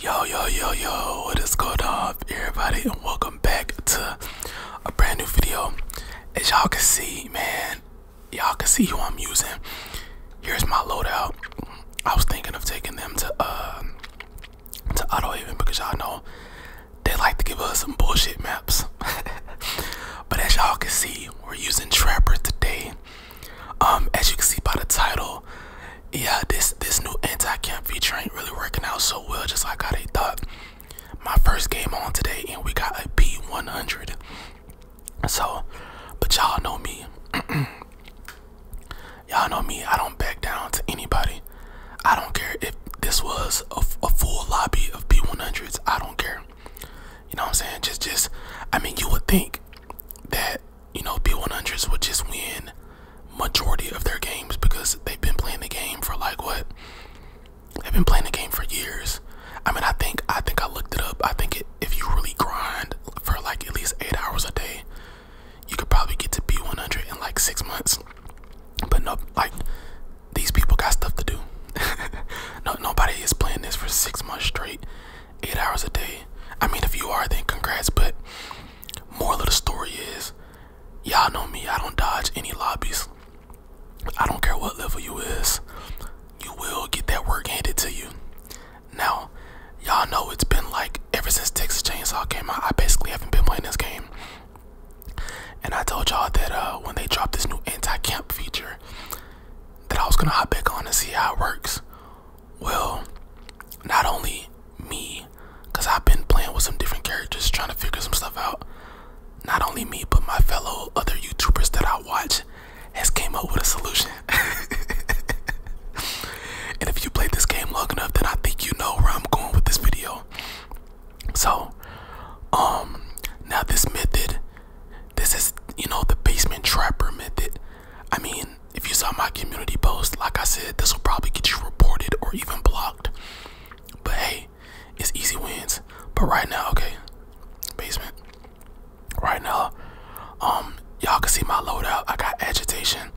Yo, yo, yo, yo, what is going on, everybody, and welcome back to a brand new video. As y'all can see, man, y'all can see who I'm using. Here's my loadout. I was thinking of taking them to, uh, to Auto Haven because y'all know they like to give us some bullshit maps. but as y'all can see, we're using Trapper today. Um, as you can see by the title, yeah, this this new anti-camp feature ain't really working out so well, just like how they thought. My first game on today, and we got a P B100. So, but y'all know me. y'all know me. I don't back down to anybody. I don't care if this was a, full lobby of P 100s I don't care. You know what I'm saying? Just, just. I mean, you would think that you know, B100s would just win majority of their games because they've been playing the game for like what? They've been playing the game for years. I mean, I think I think I looked it up. I think it, if you really grind for like at least eight hours a day, you could probably get to B100 in like six months. But no, like these people got stuff to do. no, nobody is playing this for six months straight eight hours a day. I mean, if you are, then congrats. But more of the story is, y'all know me. I don't dodge any lobbies. I don't care what level you is. You will get that work handed to you. Now, y'all know it's been like ever since Texas Chainsaw came out. I basically haven't been playing this game. And I told y'all that uh, when they dropped this new anti-camp feature, that I was gonna hop back on and see how it works well, not only me, because I've been playing with some different characters trying to figure some stuff out. Not only me, but my fellow other YouTubers that I watch has came up with a solution. and if you played this game long enough, then I think you know where I'm going with this video. So, um, now this method, this is, you know, the basement trapper method. I mean, if you saw my community post, like I said, this will probably get you reported or even blocked. But hey, it's easy wins. But right now, okay, basement. Right now, um, y'all can see my loadout. I got agitation.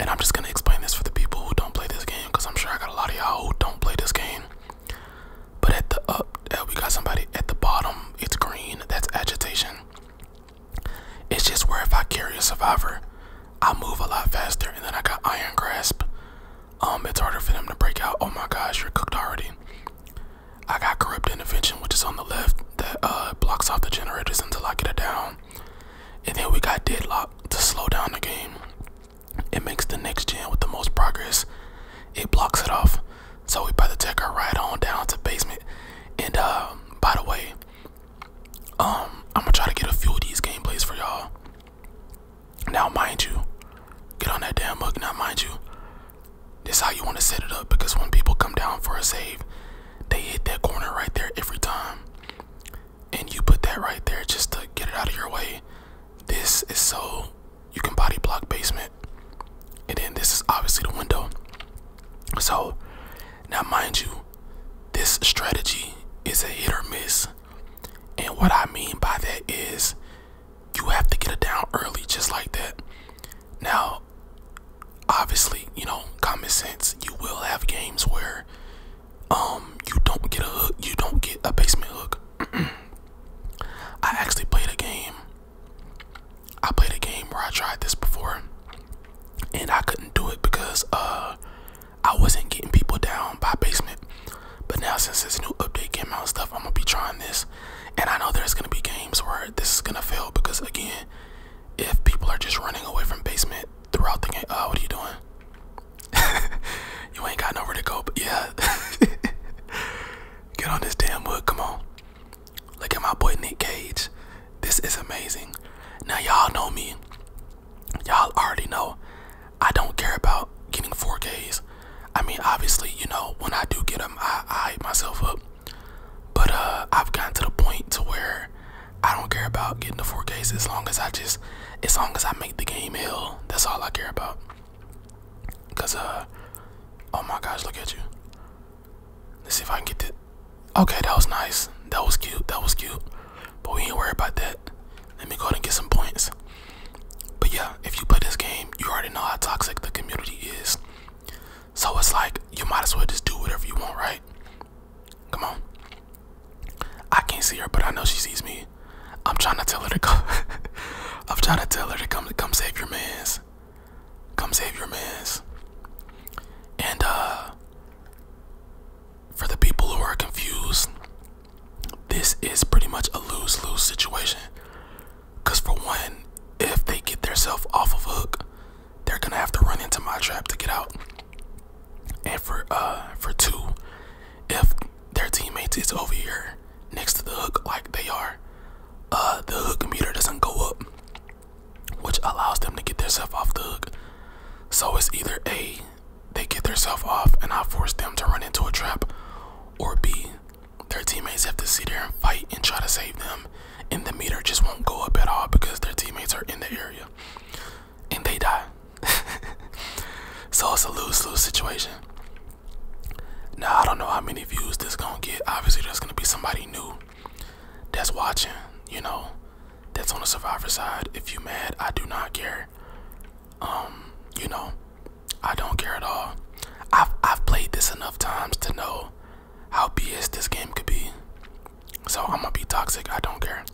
And I'm just gonna explain this for the people who don't play this game, because I'm sure I got a lot of y'all who don't play this game. But at the up, uh, we got somebody at the bottom. It's green. That's agitation. It's just where if I carry a survivor, I move a lot faster, and then I got iron grasp. Um, it's harder for them to break out. Oh my gosh, you're cooked already. I got corrupt intervention, which is on the left, that uh, blocks off the generators until I get it down. And then we got deadlock to slow down the game. It makes the next gen with the most progress. It blocks it off. So we better take our ride on down to basement. And uh, by the way, um, I'm gonna try to get a few of these gameplays for y'all. Now, mind you, get on that damn hook. Now, mind you, this is how you want to set it up because when people come down for a save, they hit that corner right there every time. And you put that right there just to get it out of your way. This is so you can body block basement. And then this is obviously the window. So now mind you, this strategy is a hit or miss. And what I mean by that is you have to get it down early just like that. Now, obviously, you know, common sense, you will have games where um you don't get a hook, you don't get a basement hook. I actually played a game I played a game where I tried this before and I couldn't do it because uh I wasn't getting people down by basement. But now since this new update came out and stuff, I'm gonna be trying this. And I know there's gonna be games where this is gonna fail because again, if people are just running away from basement throughout the game, uh what are you doing? you ain't got nowhere to go, but yeah. Get on this damn wood, come on. Look at my boy Nick Cage. This is amazing. Now y'all know me. Y'all already know. I don't care about getting 4Ks. I mean, obviously, you know, when I do get them, I, I hype myself up. But uh, I've gotten to the point to where I don't care about getting the 4Ks as long as I just, as long as I make the game ill. That's all I care about. Cause uh, oh my gosh, look at you. Let's see if I can get that. Okay, that was nice. That was cute. That was cute. But we ain't worry about that. Let me go ahead and get some points. But yeah, if you play this game, you already know how toxic the community is. So it's like you might as well just do whatever you want, right? Come on. I can't see her, but I know she sees me. I'm trying to tell her to come. I'm trying to tell her to come to come save your man's. Come save your mans. And uh for the people who are confused, this is pretty much a lose-lose situation. Cause for one, if they get themselves off of hook, they're gonna have to run into my trap to get out. And for uh for two, if their teammates is over here next to the hook like they are, uh the hook meter doesn't go up which allows them to get themselves off the hook. So it's either A, they get themselves off and I force them to run into a trap, or B, their teammates have to sit there and fight and try to save them, and the meter just won't go up at all because their teammates are in the area and they die. so it's a lose lose situation. Now, I don't know how many views this gonna get. Obviously, there's gonna be somebody new that's watching, you know, that's on the survivor side. If you mad, I do not care. Um, you know, I don't care at all. I've I've played this enough times to know how BS this game could be. So I'm gonna be toxic, I don't care.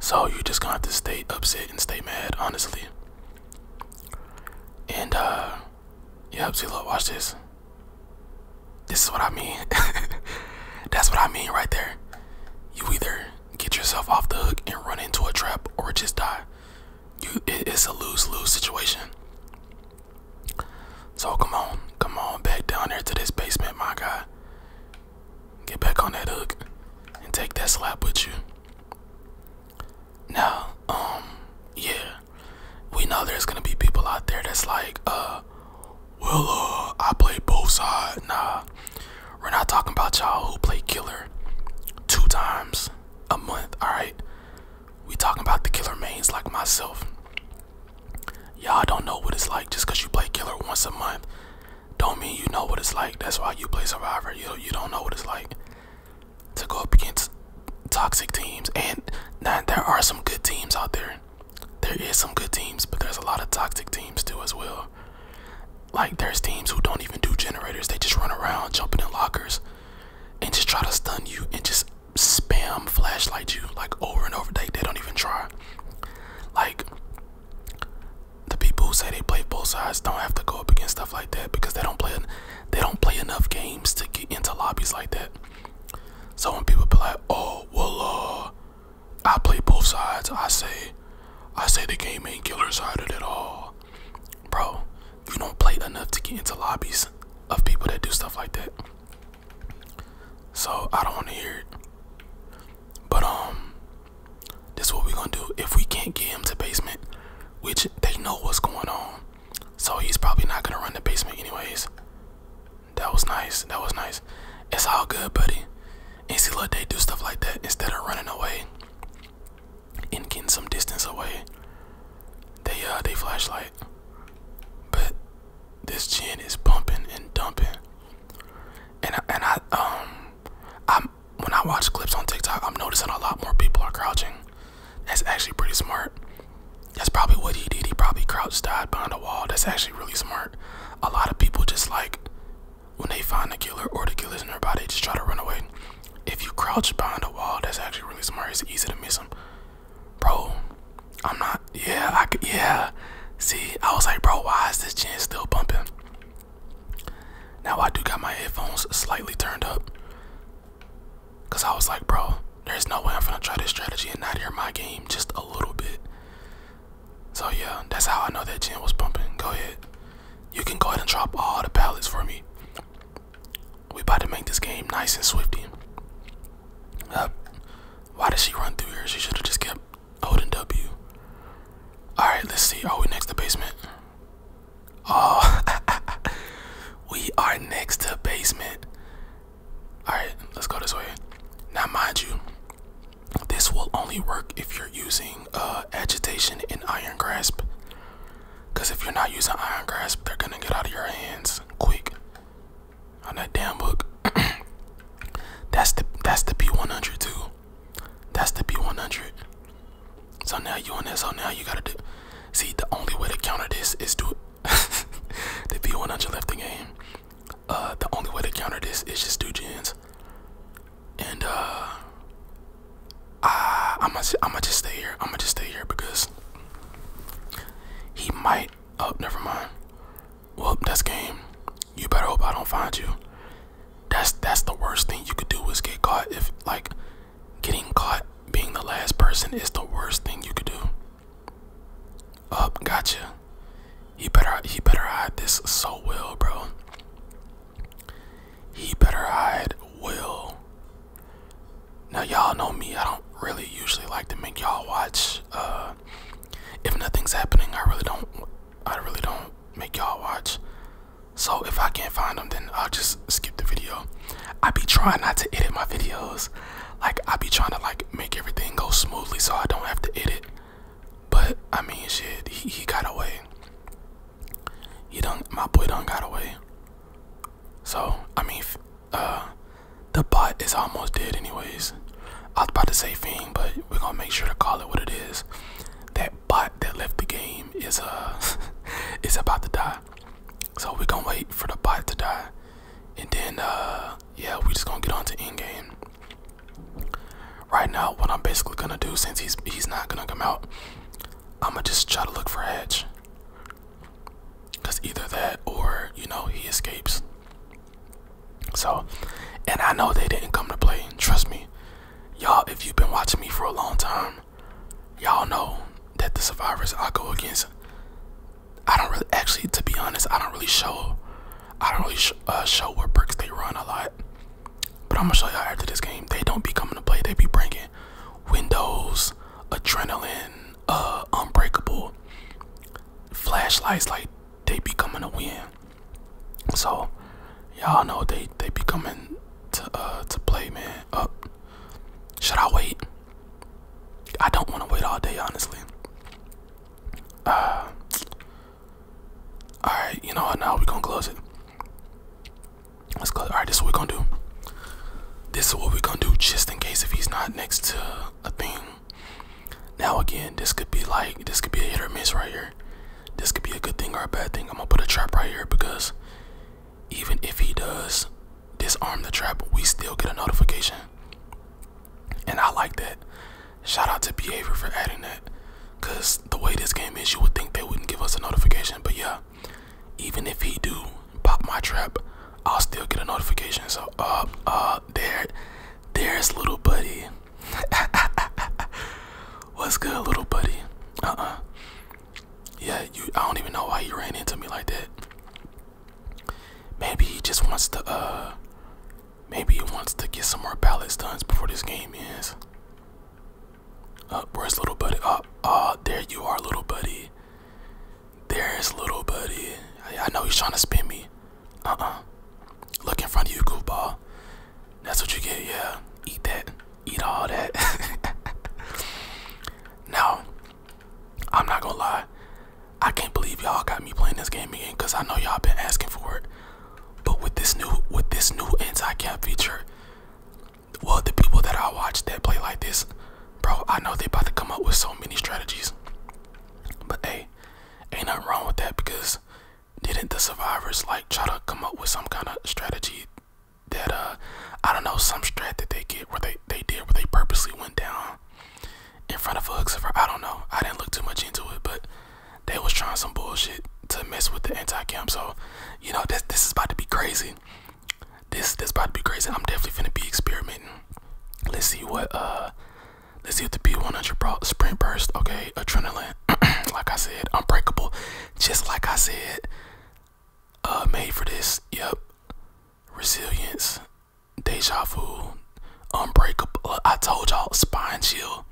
So you're just gonna have to stay upset and stay mad, honestly. And uh yeah, see look, watch this. This is what I mean. That's what I mean right there. You either get yourself off the hook and run into a trap or just die. You, it's a lose lose situation. So come on, come on back down there to this basement, my guy. Get back on that hook and take that slap with you. Now, um, yeah, we know there's gonna be people out there that's like, uh, well, uh, I play both sides. Nah, we're not talking about y'all who play killer two times a month, alright? We talking about the killer mains like myself. Y'all don't know what it's like just cause you play killer once a month. Don't mean you know what it's like. That's why you play survivor. You you don't know what it's like to go up against toxic teams. And there are some good teams out there. There is some good teams, but there's a lot of toxic teams too as well. Like there's teams who don't even do generators. They just run around jumping in lockers and just try to stun you and just spam flashlight you like over and over. They, they don't even try. Like the people who say they play both sides don't have to go up against stuff like that because they don't play they don't play enough games to get into lobbies like that. So when people be like, "Oh, well, uh, I play both sides," I say, "I say the game ain't killer sided at all, bro. You don't play enough to get into lobbies of people that do stuff like that." So I don't want to hear it. But um, this is what we gonna do. If we can't get him to basement, which they know what's going on, so he's probably not gonna run the basement anyways. That was nice. That was nice. It's all good, buddy. And see, look, they do stuff like that instead of running away and getting some distance away. They uh, they flashlight. But this gin is pumping and dumping. And I, and I um, I'm when I watch clips on TikTok, I'm noticing a lot more people are crouching. That's actually pretty smart. That's probably what he did. He probably crouched died behind a wall. That's actually really smart. A lot of people just like when they find the killer or the killer's nearby, they just try to run away. If you crouch behind a wall, that's actually really smart. It's easy to miss him, bro. I'm not. Yeah, I could. Yeah. See, I was like, bro, why is this chin still bumping? Now I do got my headphones slightly turned up. Cause I was like, bro, there's no way I'm gonna try this strategy and not hear my game just a little bit. So yeah, that's how I know that jam was pumping. Go ahead. You can go ahead and drop all the pallets for me. We about to make this game nice and swifty. Uh, why did she run through here? She should have just kept holding W. Alright, let's see. Are we next to the basement? Oh, we are next to basement. Alright, let's go this way. Now, mind you, this will only work if you're using uh, agitation and iron grasp. Because if you're not using iron grasp, they're going to get out of your hands quick on that damn book. that's the that's the P100 too. That's the P100. So now you on there. So now you gotta do. See, the only way to counter this is do the V100 left the game. Uh, the only way to counter this is just do gens. And uh, I, I'm gonna, just stay here. I'm gonna just stay here because he might. Oh, never mind. Well, that's game. You better hope I don't find you. That's that's the worst thing you could do is get caught if like Getting caught being the last person is the worst thing you could do. Up, gotcha. He better he better hide this so well, bro. He better hide well. Now y'all know me. I don't really usually like to make y'all watch. Uh, if nothing's happening, I really don't. I really don't make y'all watch. So if I can't find them, then I'll just skip the video. I be trying not to edit my videos. Like I be trying to like make everything go smoothly so I don't have to edit. But I mean shit, he, got away. He done my boy done got away. So I mean uh, the bot is almost dead anyways. I was about to say thing, but we're gonna make sure to call it what it is. That bot that left the game is uh is about to die. So we're gonna wait for the bite to die. And then uh yeah, we just gonna get on to end game. Right now what I'm basically gonna do since he's he's not gonna come out, I'ma just try to look for a Edge. Cause either that or, you know, he escapes. So and I know they didn't come to play, trust me. Y'all, if you've been watching me for a long time, y'all know that the survivors I go against, I don't really actually, to be honest, I don't really show, I don't really uh, show what bricks they run a lot. But I'm gonna show y'all after this game. They don't be coming to play. They be bringing windows, adrenaline, uh, unbreakable, flashlights. Like they be coming to win. So y'all know they they be coming to uh, to play, man. Up. Should I wait? I don't want to wait all day, honestly. Uh, all right, you know what? Now we're gonna close it. Let's close. All right, this is what we're gonna do. This is what we're gonna do, just in case if he's not next to a thing. Now again, this could be like this could be a hit or miss right here. This could be a good thing or a bad thing. I'm gonna put a trap right here because even if he does disarm the trap, we still get a notification. And I like that. Shout out to Behavior for adding that. Cause the way this game is, you would think they wouldn't give us a notification. But yeah, even if he do pop my trap, I'll still get a notification. So uh uh there there's little buddy. What's good little buddy? Uh-uh. Yeah, you, I don't even know why he ran into me like that. Maybe he just wants to, uh, maybe he wants to get some more ballot stuns before this game ends. Uh, where's little buddy? Uh, uh, there you are, little buddy. There's little buddy. I, I know he's trying to spin me. Uh-uh. Look in front of you, goofball. That's what you get, yeah. Eat that eat all that. now, I'm not gonna lie. I can't believe y'all got me playing this game again because I know y'all been asking for it. But with this new with this new anti-cap feature, well the people that I watch that play like this, bro, I know they about to come up with so many strategies. But hey, ain't nothing wrong with that because didn't the survivors like try to come up with some kind of strategy that uh I don't know some strat that they get where they they did where they purposely went down in front of a hook I don't know. I didn't look too much into it, but they was trying some bullshit to mess with the anti camp. So you know this this is about to be crazy. This this about to be crazy. I'm definitely gonna be experimenting. Let's see what uh let's see what the B100 brought. Sprint burst. Okay, adrenaline. like I said, unbreakable. Just like I said uh, made for this. Yep. Resilience, deja vu, unbreakable. I told y'all, spine chill.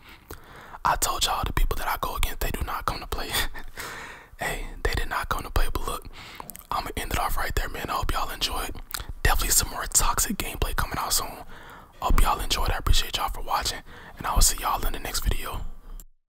I told y'all the people that I go against, they do not come to play. hey, they did not come to play. But look, I'm gonna end it off right there, man. I hope y'all enjoyed. Definitely some more toxic gameplay coming out soon. Hope y'all enjoyed. I appreciate y'all for watching, and I will see y'all in the next video.